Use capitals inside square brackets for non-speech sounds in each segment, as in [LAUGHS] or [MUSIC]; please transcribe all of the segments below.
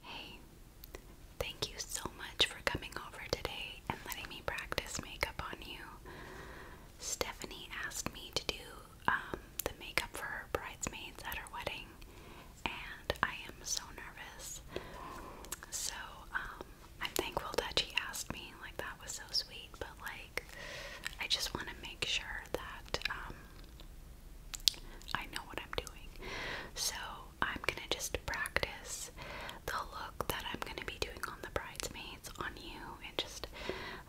Hey, thank you so much for coming over today and letting me practice makeup on you. Stephanie asked me to do um, the makeup for her bridesmaids at her wedding, and I am so nervous. So, um, I'm thankful that she asked me, like, that was so sweet, but like, I just want to make sure that, um, I know what I'm doing. So I'm gonna just practice the look that I'm gonna be doing on the bridesmaids on you, and just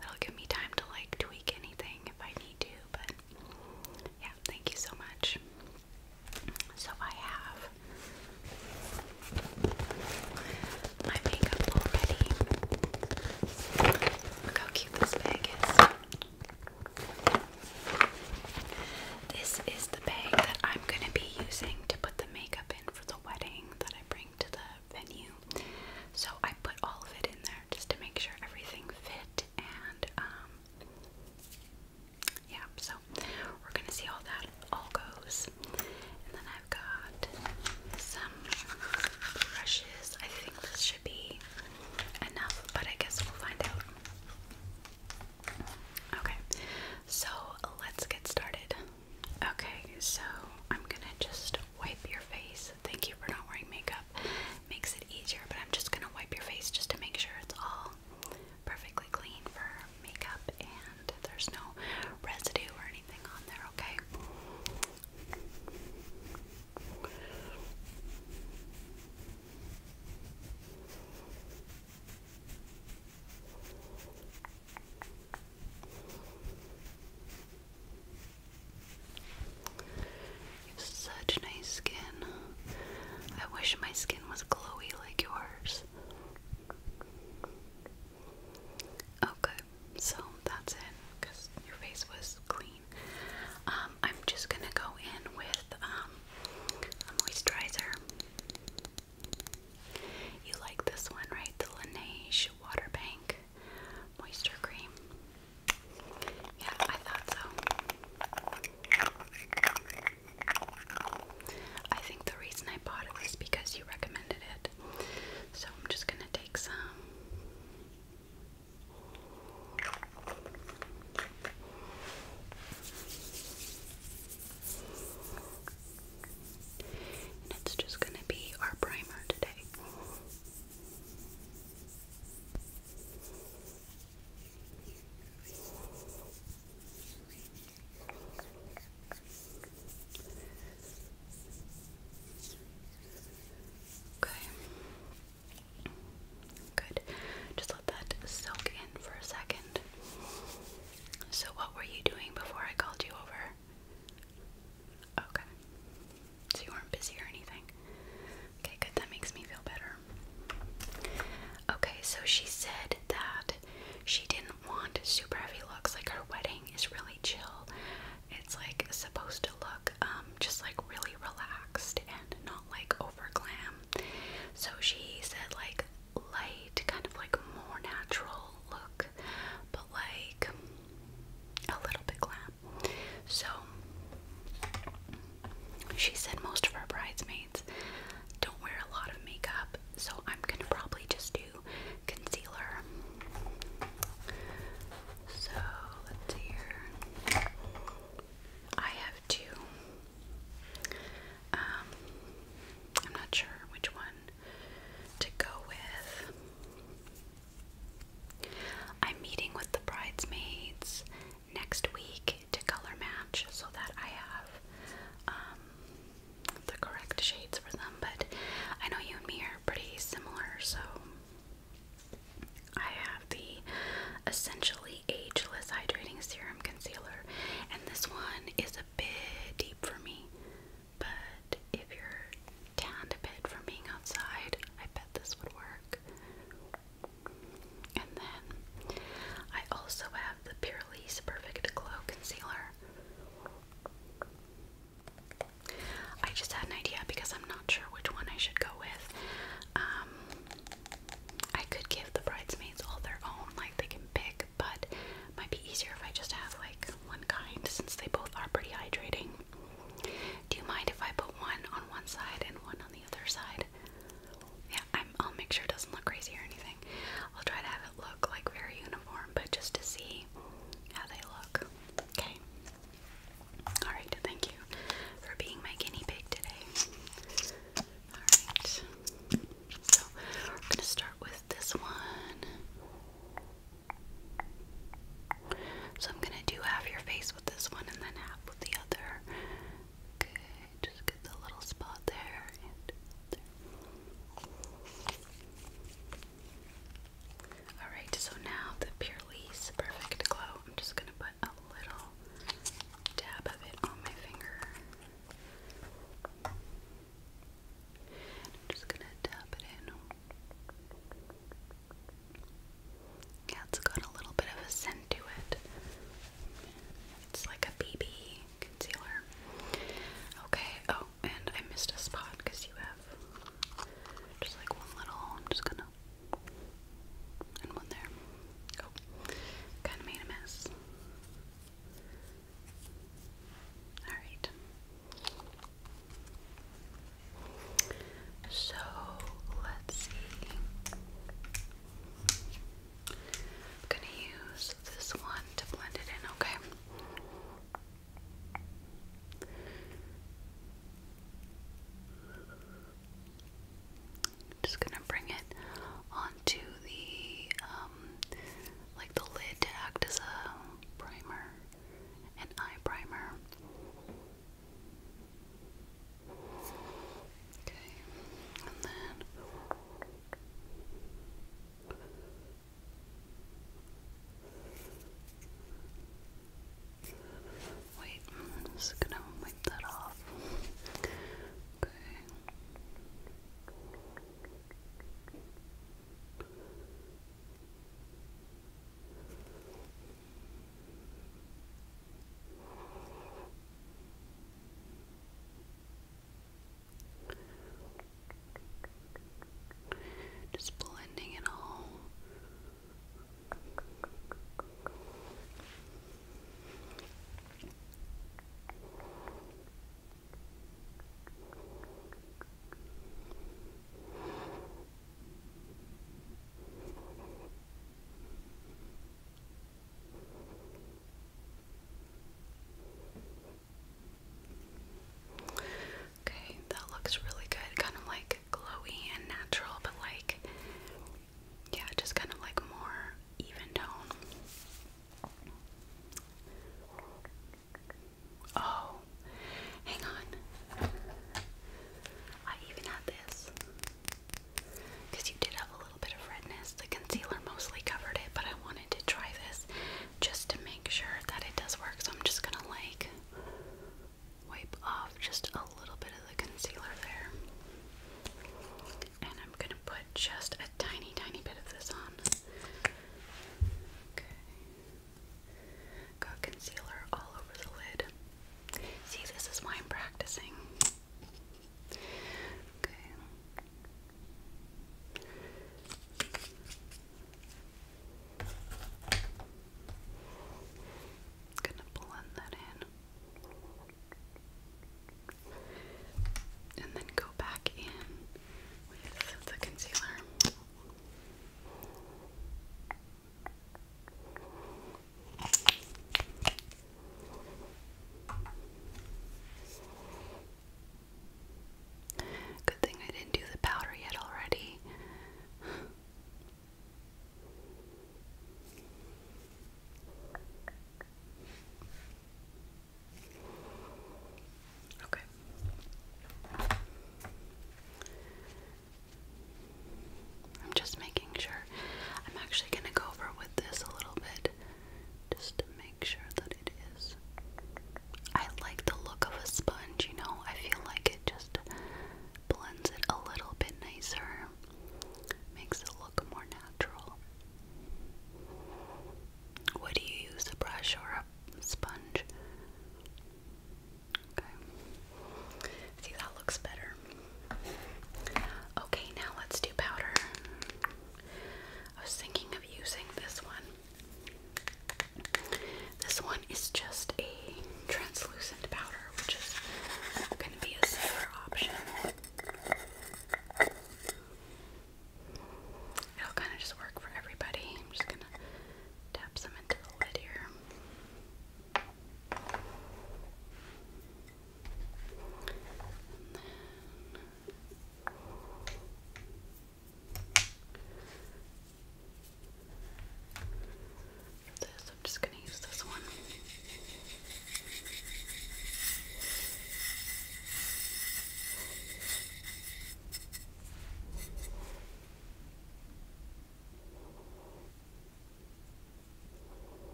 that'll give me time to like tweak anything if I need to. But yeah, thank you so much. So I have my makeup already. Look how cute this bag is. This is the bag that I'm going to be using to put the makeup in for the wedding that I bring to the venue. So I put all of it in there just to make sure everything fit and um, yeah, so we're going to see how that all goes. And then I've got some brushes. I think this should be enough, but I guess we'll find out. Okay, so let's get started. Okay, so I'm gonna just wipe your face. Thank you for not wearing makeup, makes it easier, but I'm just gonna wipe your face just to make sure it's all perfectly clean for makeup and there's no residue or anything on there, okay? Okay. You have such nice skin. I wish my skin was glowy like yours. Okay, oh, so that's it because your face was clean. Um, um, I'm just gonna go in with um, a moisturizer. You like this one, right? The Laneige Water Bank Moisture Cream. Yeah, I thought so. I think the reason I bought it was because you recommended it. So I'm just gonna take some. And it's just going to be our primer today. Okay. Good. Just let that soak in for a second. So, what were you doing before I called you over? Okay. So, you weren't busy or anything? Okay, good. That makes me feel better. Okay, so she said that she didn't want super heavy looks. Like, her wedding is really chill. It's like supposed to look um, just like really relaxed and not like over glam. So she said like light, kind of like more natural look, but like a little bit glam. So she said most of her bridesmaids don't wear a lot of makeup, so I'm gonna probably just do concealer. So let's see here. I have two. Um, I'm not sure which one to go with. I'm meeting with the bridesmaids next week to color match so that I have um, the correct shades for them. But I know you and me are pretty similar, so I have the essentially Ageless Hydrating Serum Concealer, and this one is a bit deep for me. But if you're down a bit from being outside, I bet this would work. And then I also have the Purely Perfect Glow Concealer. I just had an idea because I'm not sure which one I should go with. Um, I could give the bridesmaids all their own, like they can pick, but might be easier if I just have like one kind since they both are pretty hydrating. Do you mind if I put one on one side and one on the other side? Yeah, i I'll make sure it doesn't look crazy or anything. I'll try to have it look like very uniform, but just to see how they look. Okay. Alright, thank you for being my guinea pig today. Alright. So we're gonna start with this one. So I'm gonna do half your face with this one and then half with the other. Okay, just get the little spot there Alright, so now the Purely Lease Perfect Glow. I'm just gonna put a little dab of it on my finger. I'm just gonna dab it in. Yeah, it's got a little bit of a scent to it. It's like a BB concealer. Okay, oh, and I missed a spot because you have just like one little, I'm just gonna, and one there kind of made a mess. Alright. So, let's see. I'm going to use this one to blend it in, Okay. Just gonna bring it onto the um, like the lid to act as a primer, an eye primer. Okay, and then. Wait, just gonna wipe that off. Okay. Just blending it all. Okay, that looks really good. Kind of like glowy and natural, but like yeah, just kind of like more even tone. Oh, hang on. I even had this. Because you did have a little bit of redness. The concealer mostly covered it, but I wanted to try this just to make sure that it does work. So I'm just going to like wipe off just a little bit of the concealer there. And I'm going to put just a tiny, tiny bit of this on. Okay. Got concealer all over the lid. See, this is why I'm practicing. Okay. Gonna blend that in and then go back in with the concealer. Good thing I didn't do the powder yet already. Okay. I'm just making sure. I'm actually going to go over with this a little bit just to make sure that it is. I like the look of a sponge, you know. I feel like it just blends it a little bit nicer. Makes it look more natural. Would you use a brush or a sponge? Okay. See, that looks better. Okay, now let's do powder. I was thinking of using this one. This one is just a translucent powder, which is going to be a safer option. It'll kind of just work for everybody. I'm just gonna tap some into the lid here. this, I'm just gonna use this one. Okay,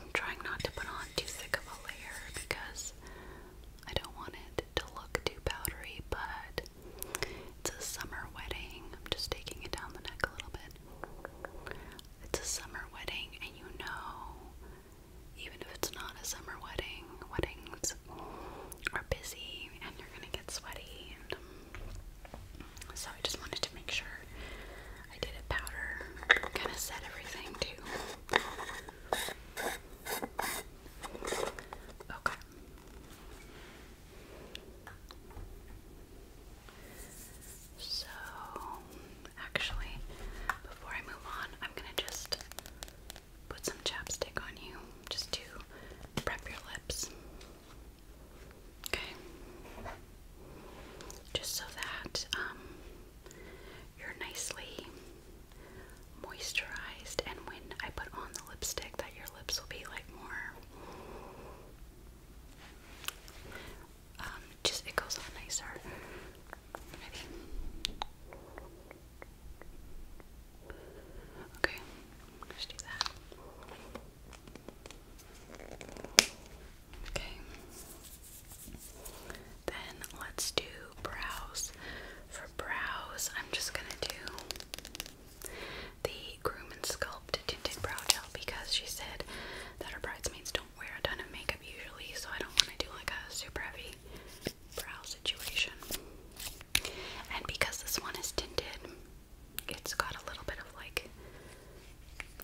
I'm trying not to put on too thick of a layer because I don't want it to look too powdery, but it's a summer wedding. I'm just taking it down the neck a little bit. It's a summer wedding, and you know, even if it's not a summer wedding, weddings are busy and you're gonna get sweaty. And, um, so I just wanted to make sure I did a powder, kind of set everything too. Okay. So, actually, before I move on, I'm gonna just put some chapstick on you just to prep your lips. Okay. Just so that um, you're nicely moisturized, and when I put on the lipstick, that your lips will be like more. Um, just it goes on nicer. Ready? Okay, just do that. Okay. Then let's do for brows, I'm just gonna do the Groom and Sculpt Tinted Brow Gel because she said that her bridesmaids don't wear a ton of makeup usually, so I don't want to do like a super heavy brow situation. And because this one is tinted, it's got a little bit of like,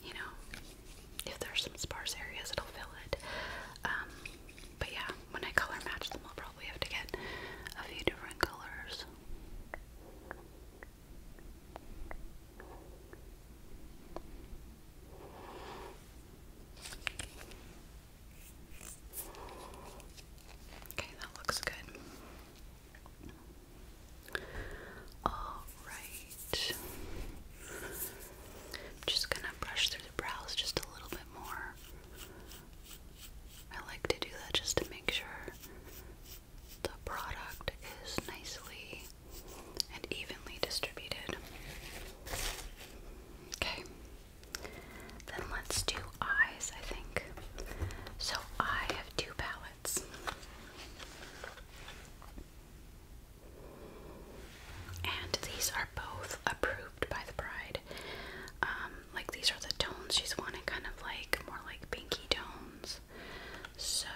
you know, if there's some sparse areas, it'll fill it. Um, but yeah, when I color match them, I'll probably have to get a few different colors. Okay, that looks good. Alright. I'm just gonna brush through the brows just a little bit more. I like to do that just to make sure the product is nicely and evenly distributed. Okay. Then let's do eyes, I think. So I have two palettes. And these are both approved by the bride. Um, like these are the tones she's wanting, kind of like more like pinky tones. So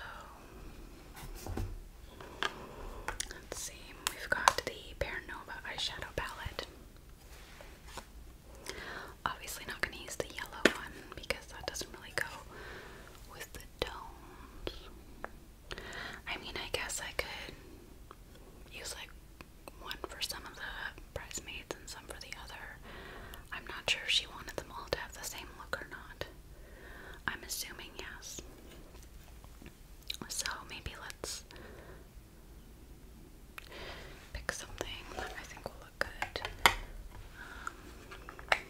let's see, we've got the Bare eyeshadow palette. Obviously, not going to use the yellow one because that doesn't really go with the tones. I mean, I guess I could use like one for some of the bridesmaids and some for the other. I'm not sure if she wanted them all to have the same look or not. I'm assuming yes. So maybe let's pick something that I think will look good. Um,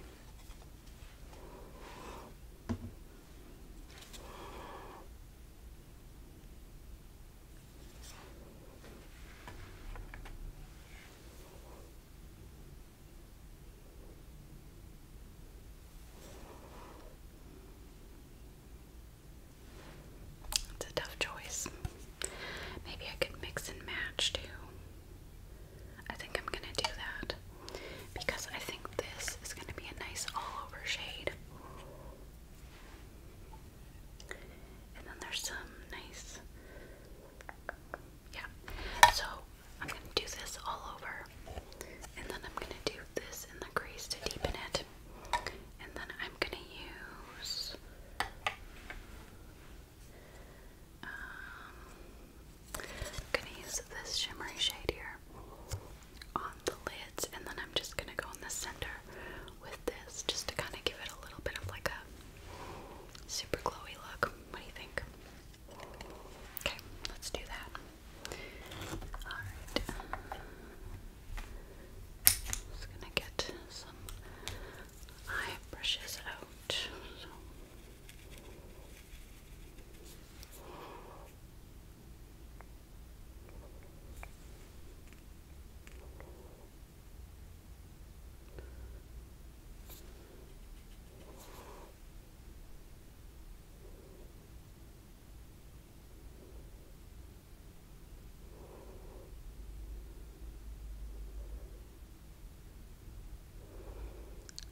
it's a tough choice. Maybe I could mix and match too. I think I'm gonna do that because I think this is gonna be a nice all over shade. And then there's some nice, yeah. So I'm gonna do this all over, and then I'm gonna do this in the crease to deepen it, and then I'm gonna use. I'm um, gonna use this shimmery shade here on the lids, and then I'm just gonna go in the center with this just to kind of give it a little bit of like a super glowy look. What do you think? Okay, let's do that. Alright. Just gonna get some eye brushes out.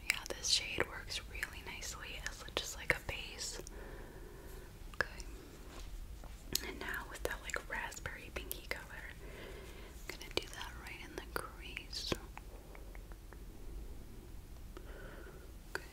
Yeah, this shade works really nicely as just like a base. Okay. And now with that like raspberry pinky color, I'm gonna do that right in the crease. Okay.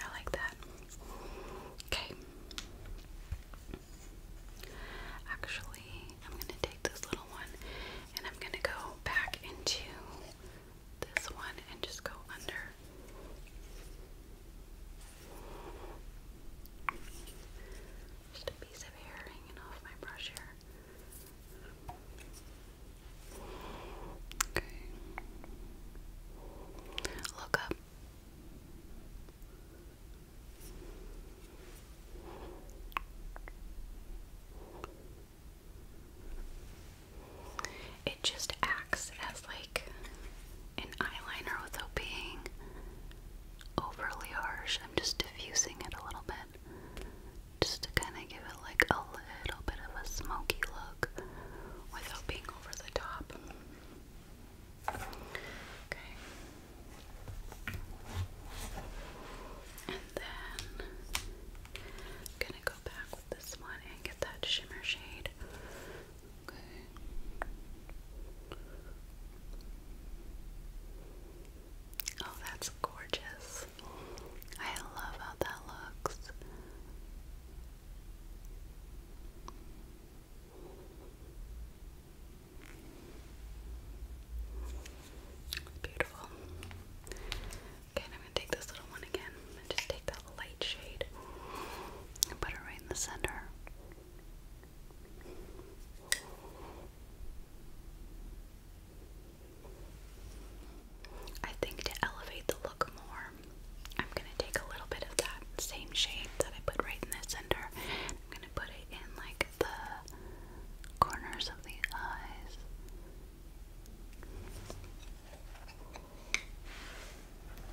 I like that. Okay. Actually, I'm going to take this little one and I'm going to go back into this one and just go under. Just a piece of hair hanging off my brush here. Okay. Look up. It just acts as like an eyeliner without being overly harsh. I'm just diffusing it a little bit just to kind of give it like a little bit of a smoky look without being over the top. Okay. And then gonna back with this one and get that shimmer shade. Oh, that's gorgeous. I love how that looks. Beautiful. Okay, I'm gonna take this little one again and just take that light shade and put it right in the center. I think to elevate the look more, I'm gonna take a little bit of that same shade that I put right in the center. I'm gonna put it in like the corners of the eyes.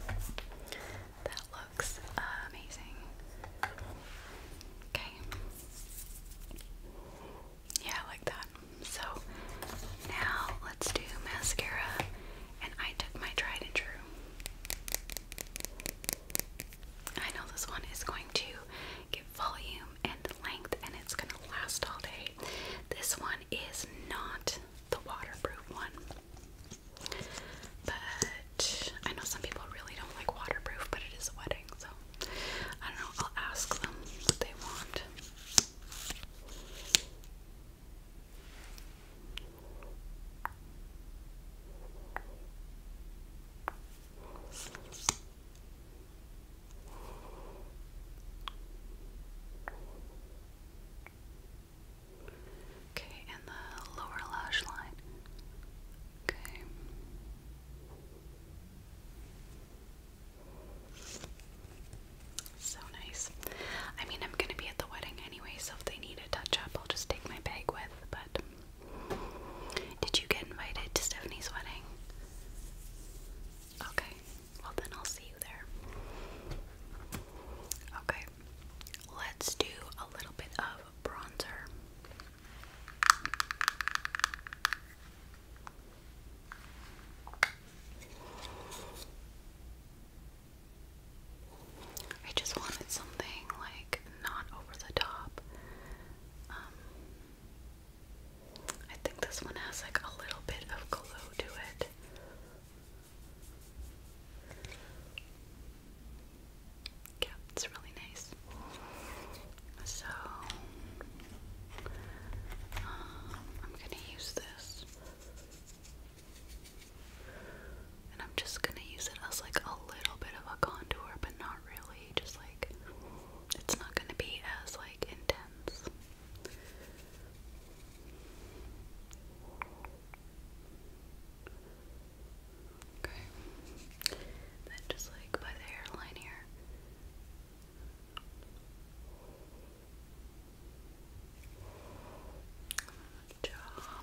That looks amazing. Okay. Yeah, I like that. So now let's do mascara, and I took my tried and true. I know this one is going to give volume and length, and it's gonna last all day. This one is not the waterproof one. But I know some people really don't like waterproof, but it is a wedding, so I don't know. I'll ask them what they want. Okay, and the lower lash line. Okay. So nice. I mean, I'm going to be at the wedding anyway, so if they need a touch up, I'll just take my bag with. But did you get invited to Stephanie's wedding? Okay, well then I'll see you there. Okay, let's do a little bit of bronzer. I just wanted something like not over the top. Um, I think this one has like a little bit of glow to it. Yeah, it's really nice. So, um, I'm gonna use this. And I'm just gonna use it as like a little bit of a contour, but not really. Just like, it's not gonna be as like intense. Okay. Then just like by the hairline here. Good job.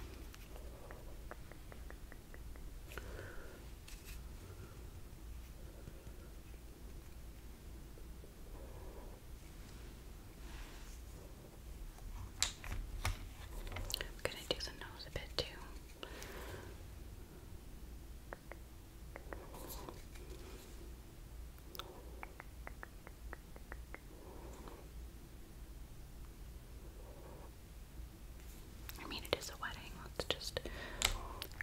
I'm going to do the nose a bit too. I mean, it is a wedding. Let's just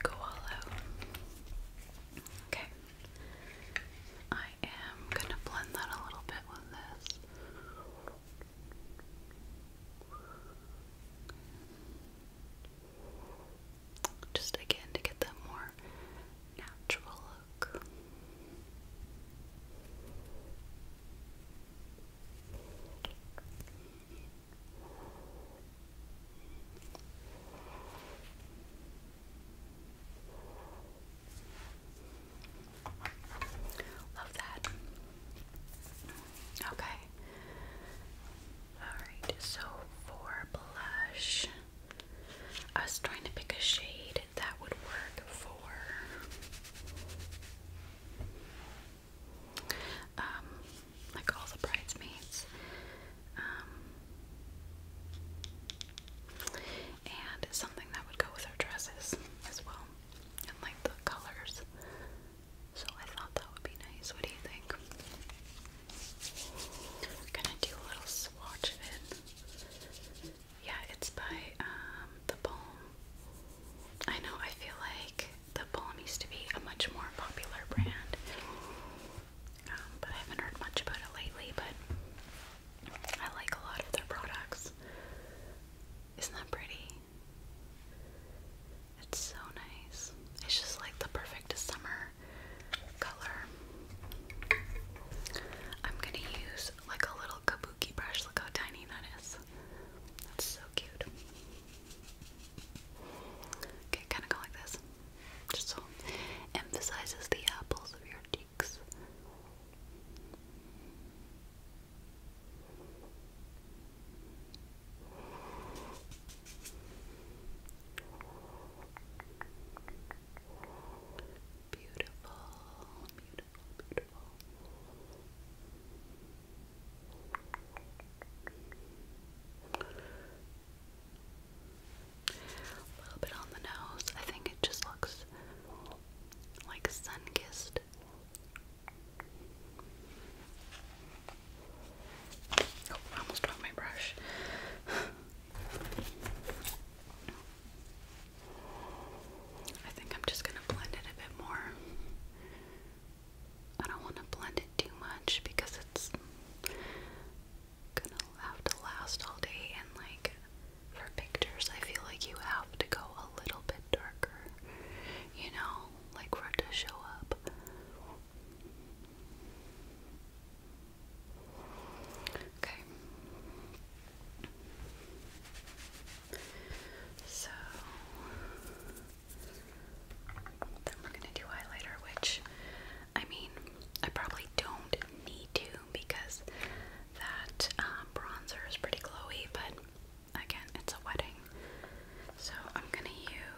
go all out. Okay. I am going to blend that a little bit with this. Just again to get that more natural look. Love that. Okay. Alright, so for blush, I was trying to pick a shade that would work for um like all the bridesmaids. Um, and something that would go with her dresses as well, and like the colors. So I thought that would be nice. What do you think? gonna do a little swatch Yeah, it's by um, The Balm. I know, I feel like The Balm used to be a much more popular brand. Um, but I haven't heard much about it lately. But I like a lot of their products. Isn't that pretty? It's so nice. It's just like the perfect summer color. I'm gonna use like a little kabuki brush. Look how tiny that is. That's so cute. Okay, kind of go like this. Just so emphasizes the apples of your cheeks. Beautiful, beautiful, beautiful. A little bit on the nose. I think it just looks like sun kissed. Oh, almost dropped my brush. I think I'm just gonna blend it a bit more. I don't want to blend it too much because it's gonna have to last all day and like for pictures I feel like you have to go a little bit darker, you know, like for it to show up. Okay. So then we're gonna do highlighter, which I mean I probably don't need to because that um, bronzer is pretty glowy, but again, it's a wedding. So I'm gonna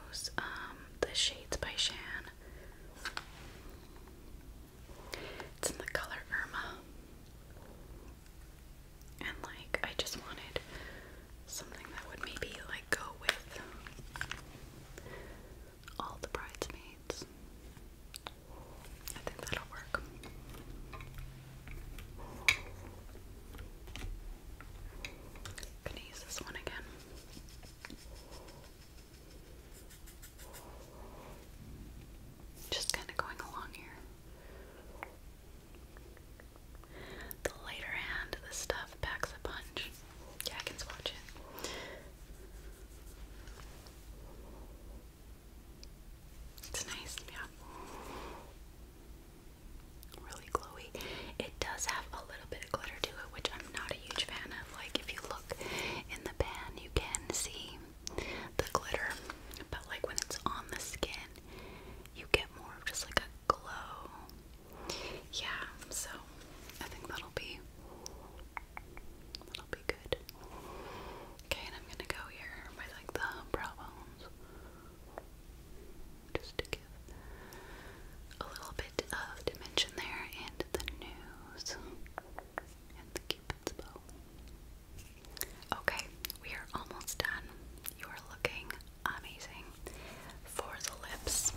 use um, the Shades by Shan. It's in the color Irma. And like, I just wanted something that would maybe like go with all the bridesmaids. I think that'll work. going use this one again. Just kind of going along here. The lighter hand of stuff packs a punch. Yeah, I can swatch it. It's nice, yeah. Really glowy. It does have a little bit of glitter to it, which I'm not a huge fan of. Like, if you look in the pan, you can see the glitter, but like when it's on the skin, you get more of just like a glow. Yeah, so I think that'll be be good. Okay, and I'm gonna go here by like the brow bones. Just to give a little bit of dimension there and the nose and the cupid's bow. Okay, we are almost done. You are looking amazing. For the lips,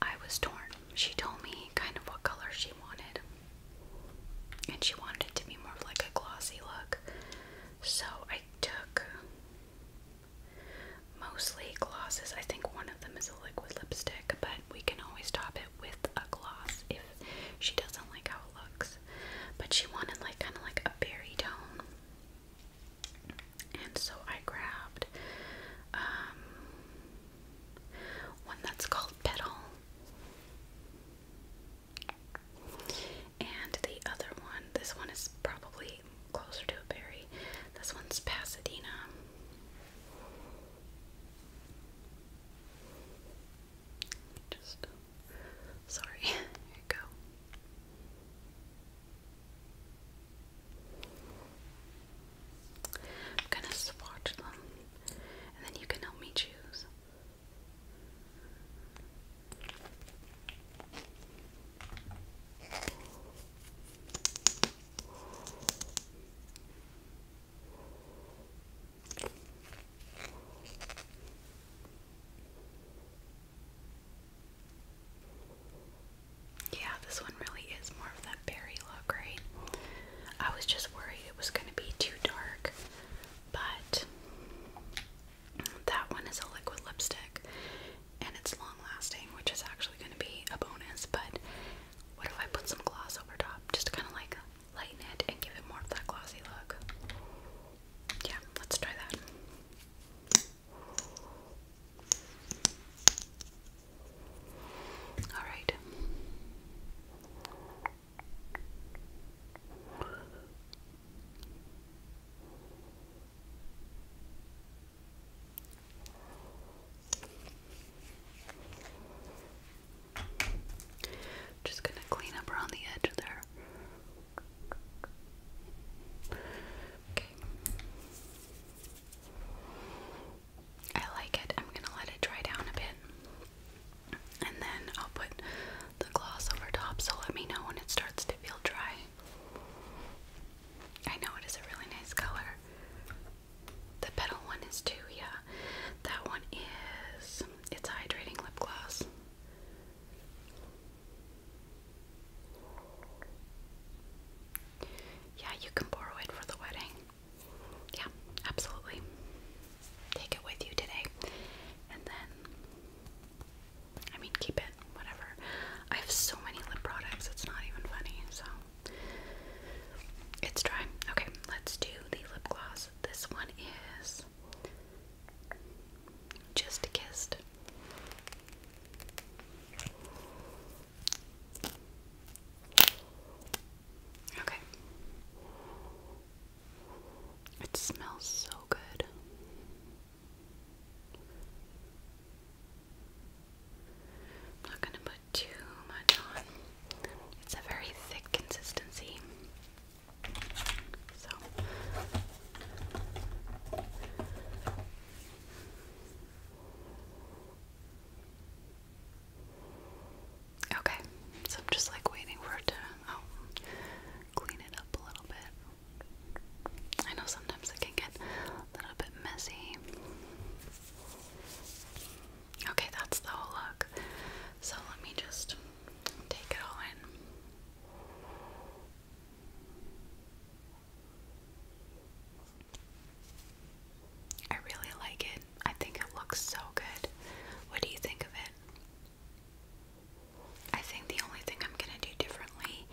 I was torn she told me kind of what color she wanted. And she wanted it to be more of like a glossy look. So I took mostly glosses. I think one of them is a liquid lipstick, but we can always top it with a gloss if she doesn't like how it looks. But she wanted like kind of like a berry tone. And so I grabbed um, one that's called Petal, and the other one, this one is probably closer to a berry. This one's Pasadena. Just sorry, [LAUGHS] here you go. I'm gonna swatch them and then you can help me choose. Yeah, this one really is more of that berry look, right? I was just worried it was going to be too dark, but that one is a liquid lipstick and it's long lasting, which is actually going to be a bonus. But what if I put some gloss over top just to kind of like lighten it and give it more of that glossy look? Yeah, let's try that. All right. Just going to clean up around the edge there. Okay. I like it. I'm gonna let it dry down a bit and then I'll put the gloss over top. So let me know when it starts to feel dry. I know it is a really nice color. The petal one is too, yeah. That one is it's hydrating lip gloss. Yeah, you can borrow it for the wedding yeah, absolutely. Take it with you today. And then, I mean, keep it, whatever. I have so many lip products, it's not even funny, so. It's dry. Okay, let's do the lip gloss. This one is Just Kissed. Okay. It smells so good. not going to put too much on. It's a very thick consistency. So Okay, so I'm just like waiting for it to oh, clean it up a little bit. I know sometimes it can get a little bit messy. Okay, that's the whole look. So let me just take it all in. I really like it. I think it looks so good. What do you think of it? I think the only thing I'm gonna do differently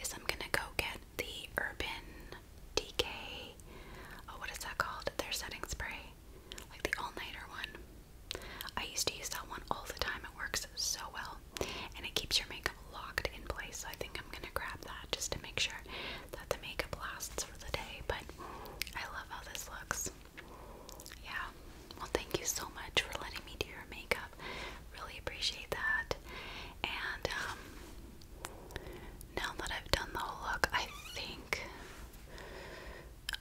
is I'm gonna go get the Urban Decay. Oh, what is that called? Their setting spray, like the all nighter one. I used to use that one all the time. It works so well, and it keeps your makeup locked in place. So I think I'm gonna grab that just to make sure that the makeup lasts for the day, but I love how this looks. Yeah. Well, thank you so much for letting me do your makeup. Really appreciate that. And um now that I've done the whole look, I think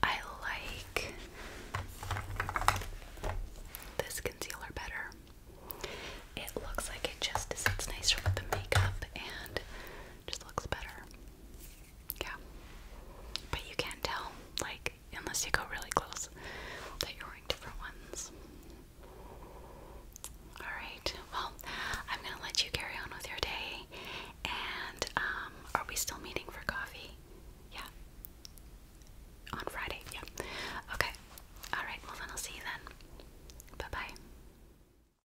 I like this concealer better. It looks like it just sits nicer with the makeup and just looks better. Yeah. But you can't tell, like, unless you go really close, that you're wearing different ones. Alright, well, I'm gonna let you carry on with your day. And, um, are we still meeting for coffee? Yeah. On Friday, yeah. Okay. Alright, well, then I'll see you then. Bye bye.